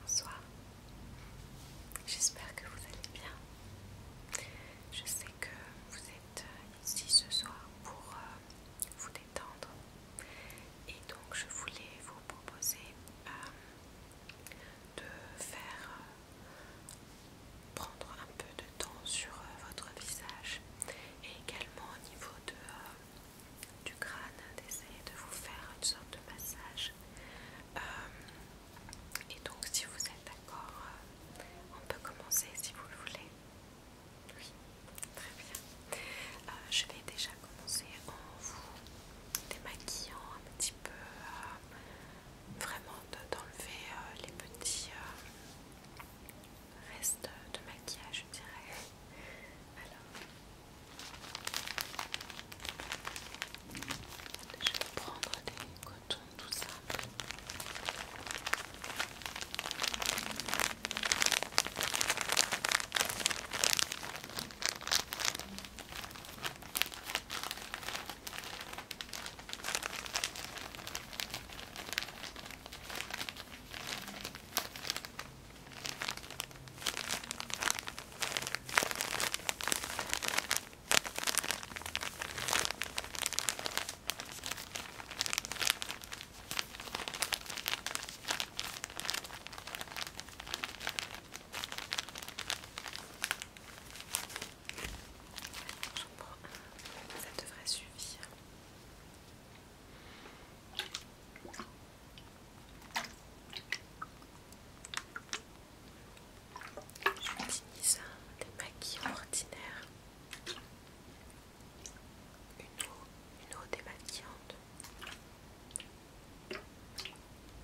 Bonsoir, j'espère que vous allez bien. Je sais que vous êtes euh, ici ce soir pour euh, vous détendre et donc je voulais vous proposer euh, de faire prendre un peu de temps sur votre visage et également au niveau de, du crâne, d'essayer de vous faire une sorte de massage. Euh, et donc si vous êtes d'accord, euh, on peut commencer si vous le voulez. Oui, très bien. Euh, je vais déjà commencer en vous démaquillant un petit peu, vraiment d'enlever les petits restes de maquillage, je dirais. Alors, je vais prendre des cotons tout ça. Ça devrait suffire. J'utilise un démaquillant ordinaire une eau, démaquillante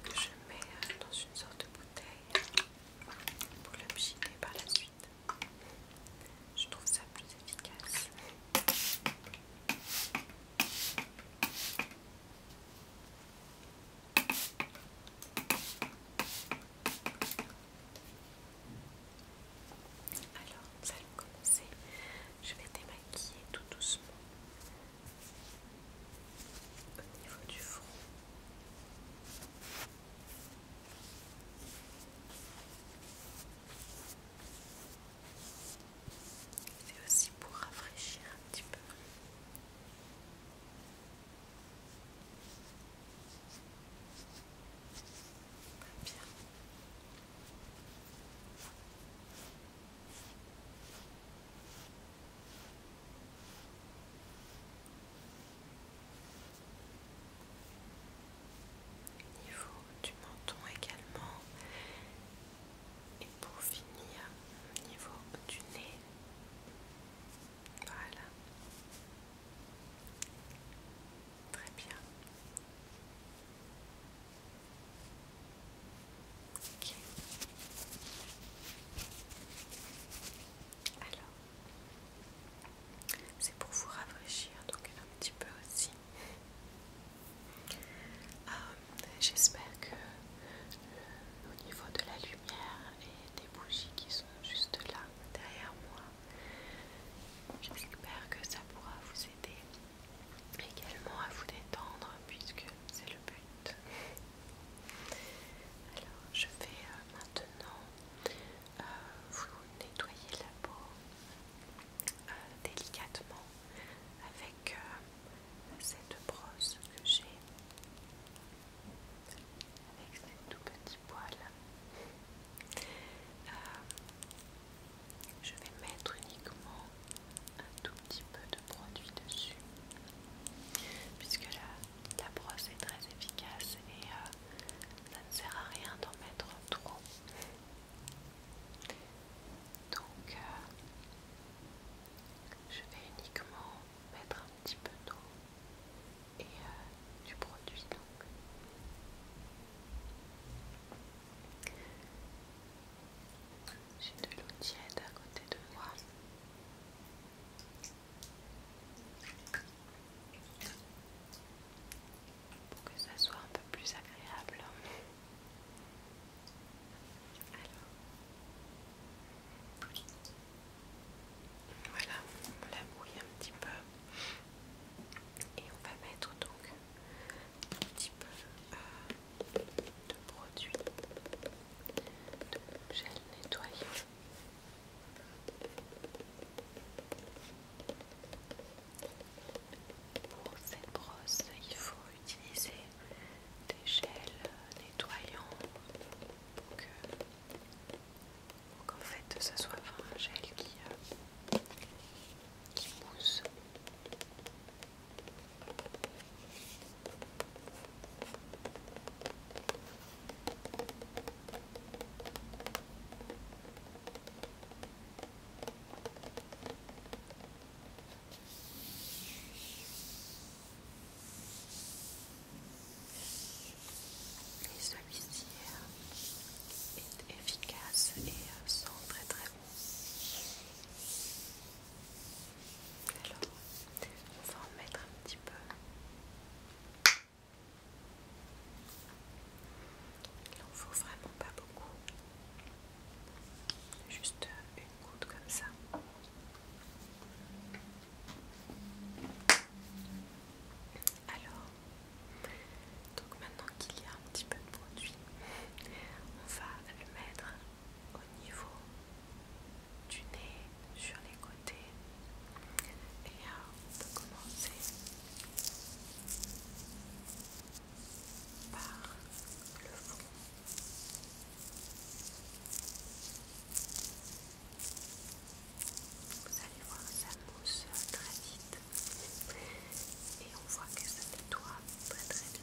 que je mets euh, dans une sorte de bouteille pour le par la suite. Je trouve ça plus efficace. Alors, ça allons Je vais démaquiller tout doucement au niveau du front. C'est aussi pour rafraîchir un petit peu. Niveau du menton également, et pour finir, au niveau du nez, voilà. Très bien. Ok. Alors, c'est pour vous rafraîchir, donc un petit peu aussi euh, j'espère que euh, au niveau de la lumière et des bougies qui sont juste là derrière moi, j'espère que ça pourra vous aider également à vous détendre puisque c'est le but. Alors je vais euh, maintenant vous nettoyer la peau euh, délicatement avec euh, cette brosse que j'ai avec ces tout petits poils. Euh, je vais mettre uniquement un tout petit peu de produit dessus puisque la, la brosse est très efficace et ça ne sert à rien d'en mettre trop donc euh, je vais uniquement mettre un petit peu d'eau et euh, du produit donc. J'ai de l'eau tiède à côté de moi pour que ça soit un peu plus agréable. Voilà, on la mouille un petit peu. Et on va mettre donc un petit peu euh, de produit de gel nettoyant. Pour cette brosse, il faut utiliser des gels nettoyants pour que, en fait ce soit un gel qui, euh, qui mousse. Et celui-ci est efficace et euh, sent très très bon. Alors, on va en mettre un petit peu. Il en faut vraiment pas beaucoup. Juste une goutte comme ça. Alors, donc maintenant qu'il y a un petit peu de produit, on va le mettre au niveau du nez, sur les côtés. Et euh, on peut commencer par le fond. Vous allez voir, ça mousse très vite et on voit que ça nettoie très très bien.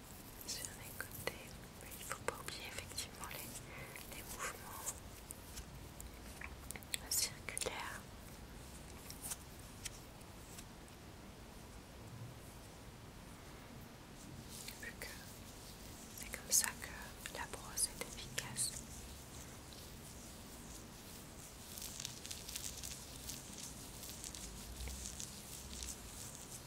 sur les côtés. il ne faut pas oublier effectivement les, mouvements circulaires. c'est comme ça que la brosse est efficace.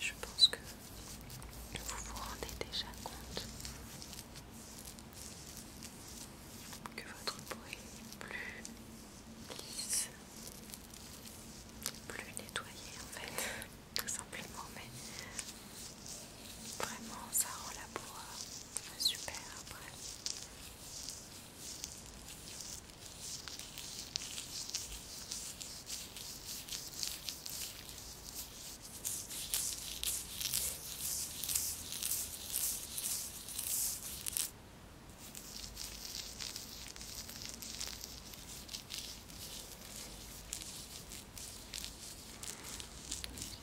Je pense que vous vous rendez déjà compte que votre peau est plus lisse, plus nettoyé en fait, tout simplement, mais vraiment ça rend la peau euh, super après.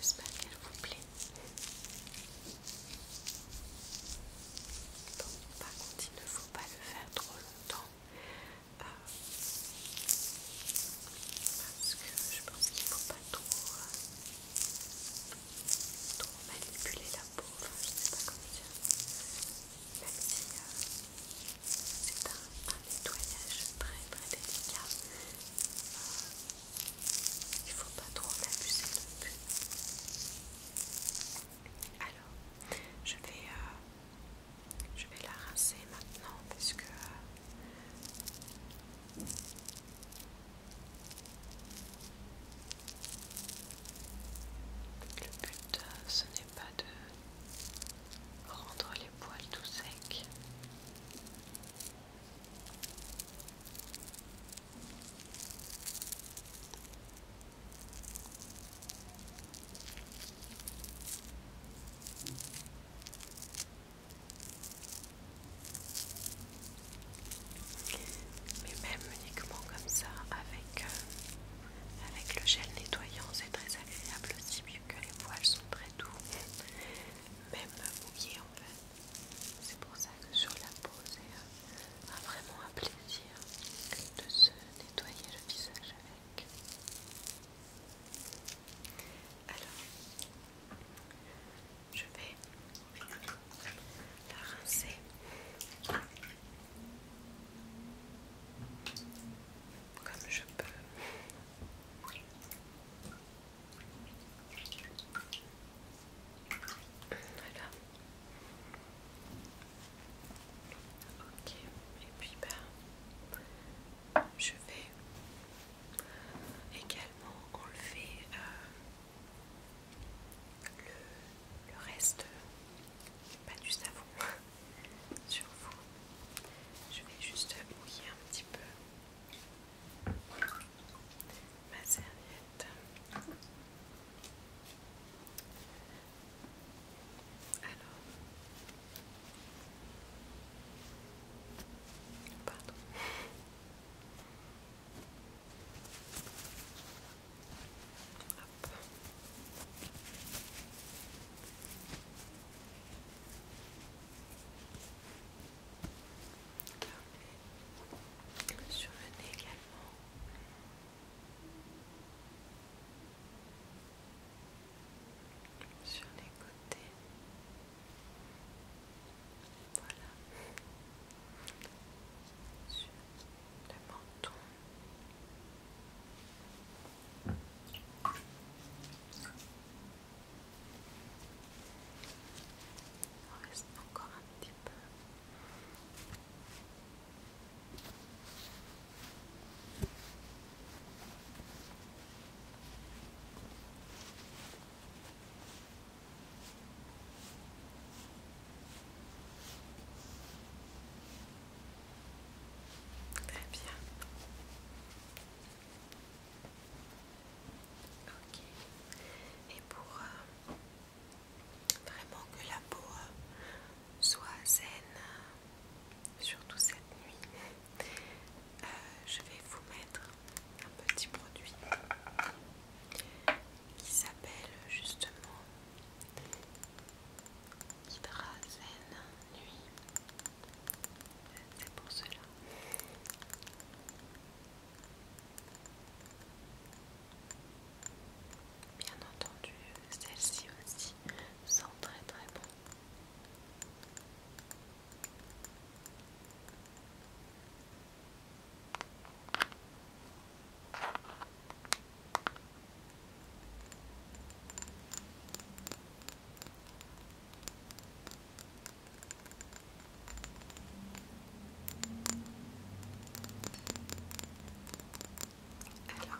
J'espère qu'elle vous plaît. par contre, il ne faut pas le faire trop longtemps euh, parce que je pense qu'il ne faut pas trop, euh, trop manipuler la peau. je ne sais pas comment dire même si c'est un, nettoyage très très délicat, il faut pas trop l'abuser non plus. Alors, je vais, je vais la rincer maintenant parce que. Le but, euh, ce n'est pas de rendre les poils tout secs mais même uniquement comme ça avec, euh, avec le gel nettoyant c'est très agréable aussi mieux que les poils sont très doux même mouillés en fait c'est pour ça que sur la peau c'est euh, vraiment un plaisir de se nettoyer le visage avec alors je vais la rincer. Comme je peux. Voilà. Ok, et puis ben, je vais également enlever euh, le, reste pas du savon sur vous. Je vais juste mouiller un petit peu ma serviette. Alors, pardon. Sur le nez également. Sur les côtés. Voilà le menton. reste encore un petit Très bien. Ok. Et pour euh, vraiment que la peau euh, soit zen euh, surtout cette nuit, je vais vous mettre un petit produit qui s'appelle justement hydrazène Nuit. C'est pour cela. Bien entendu, celle ci aussi sent très très bon alors,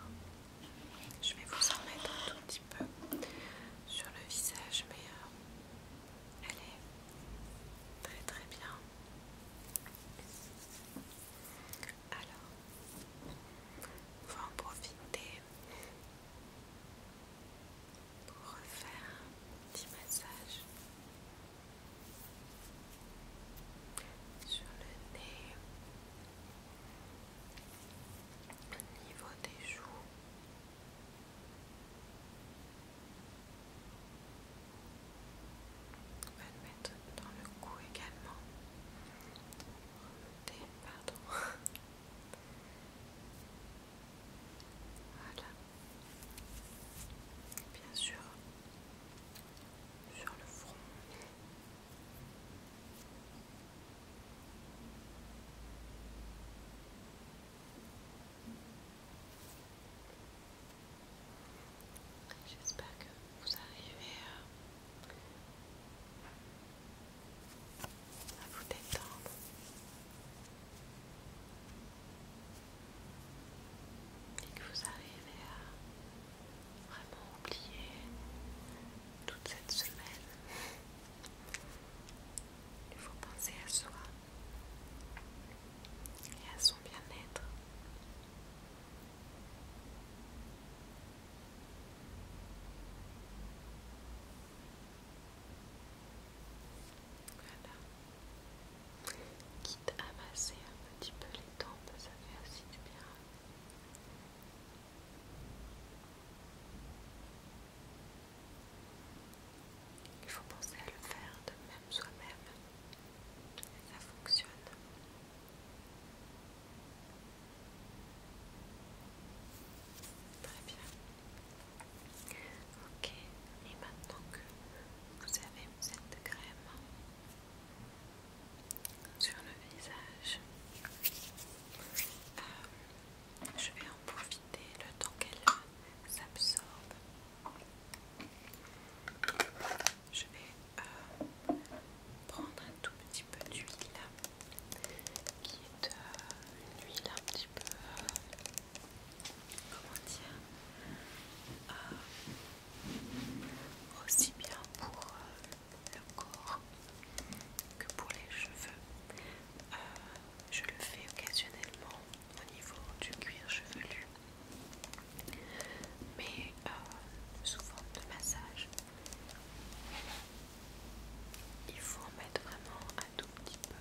je vais vous en mettre un tout petit peu sur le visage, mais euh, elle est très très bien alors, on va en profiter pour refaire un petit massage sur le nez, au niveau des joues. On va le mettre dans le cou également. pardon. Voilà. Bien sûr, sur le front. J'espère que vous arrivez à, vous détendre. Et que vous arrivez à vraiment oublier toute cette semaine. Il faut penser à soi et à son bien-être. Voilà. Quitte à masser un petit peu les tempes, ça fait aussi du bien. Il faut penser à le faire de même soi-même ça fonctionne. Très bien. Ok, et maintenant que vous avez cette crème sur le visage, euh, je vais en profiter le temps qu'elle s'absorbe je vais euh, prendre un tout petit peu d'huile qui est euh, une huile un petit peu comment dire euh, aussi bien pour le corps que pour les cheveux. je le fais occasionnellement au niveau du cuir chevelu, mais euh, sous forme de massage. Il faut en mettre vraiment un tout petit peu.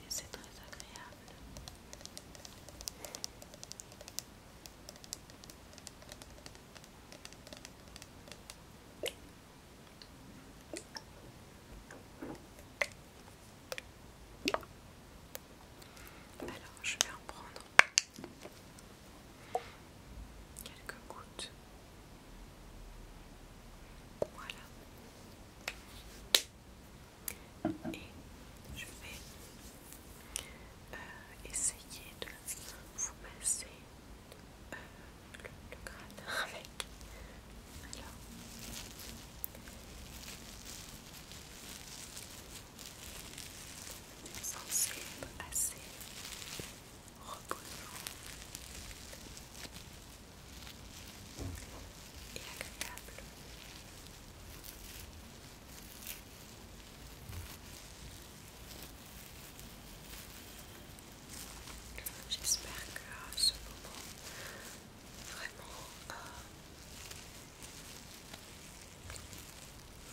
Et c'est très agréable. Alors, je vais en prendre quelques gouttes. Voilà. Et je vais euh, essayer de vous passer le, crâne avec. Alors. C'est assez reposant. Et agréable. J'espère que ce moment vraiment euh,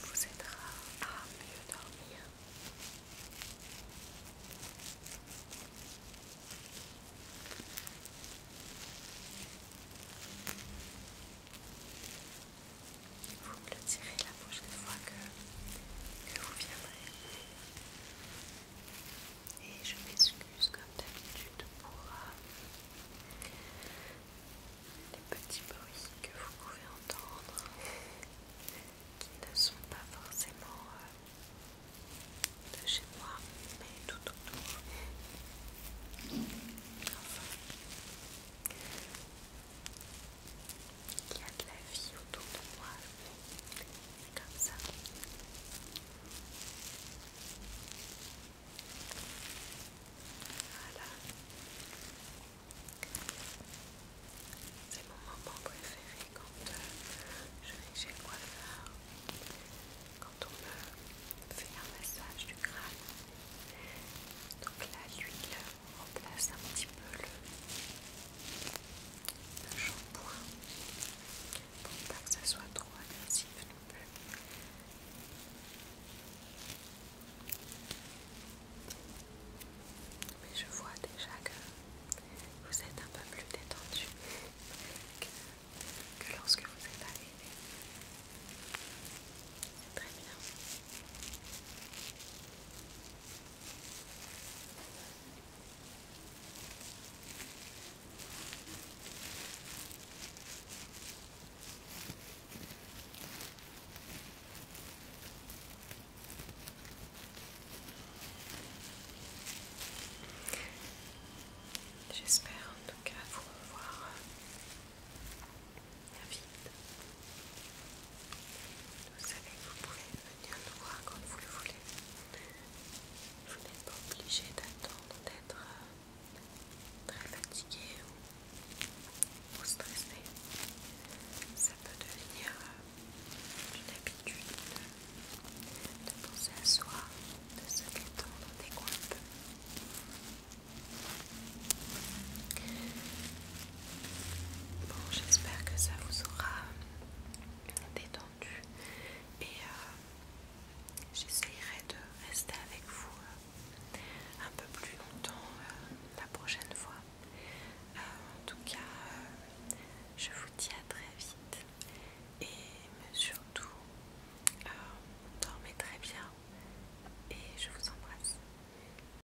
vous aidera à mieux dormir. Vous la prochaine fois que, vous viendrez. Et je m'excuse comme d'habitude pour euh, les petits bruits que vous pouvez entendre qui ne sont pas forcément euh, de chez moi mais tout autour. Il y a de la vie autour de moi. C'est comme ça. Voilà. C'est mon moment préféré quand euh, je vais chez le coiffeur, quand on me fait un massage du crâne. Donc là, l'huile on remplace un petit peu le, shampoing pour pas que ça soit trop agressif non plus. Mais je vois déjà que vous êtes un peu plus détendu que, lorsque vous êtes arrivé. C'est très bien. J'espère en tout cas vous revoir vite. Vous savez vous pouvez venir nous voir quand vous le voulez. Vous n'êtes pas obligé d'attendre d'être euh, très fatigué ou, stressé. Ça peut devenir euh, une habitude de, penser à soi, de se détendre des qu'on Bon, j'espère que ça vous aura détendu et euh, j'essayerai de rester avec vous euh, un peu plus longtemps euh, la prochaine fois. en tout cas, je vous dis à très vite et surtout, dormez très bien et je vous embrasse.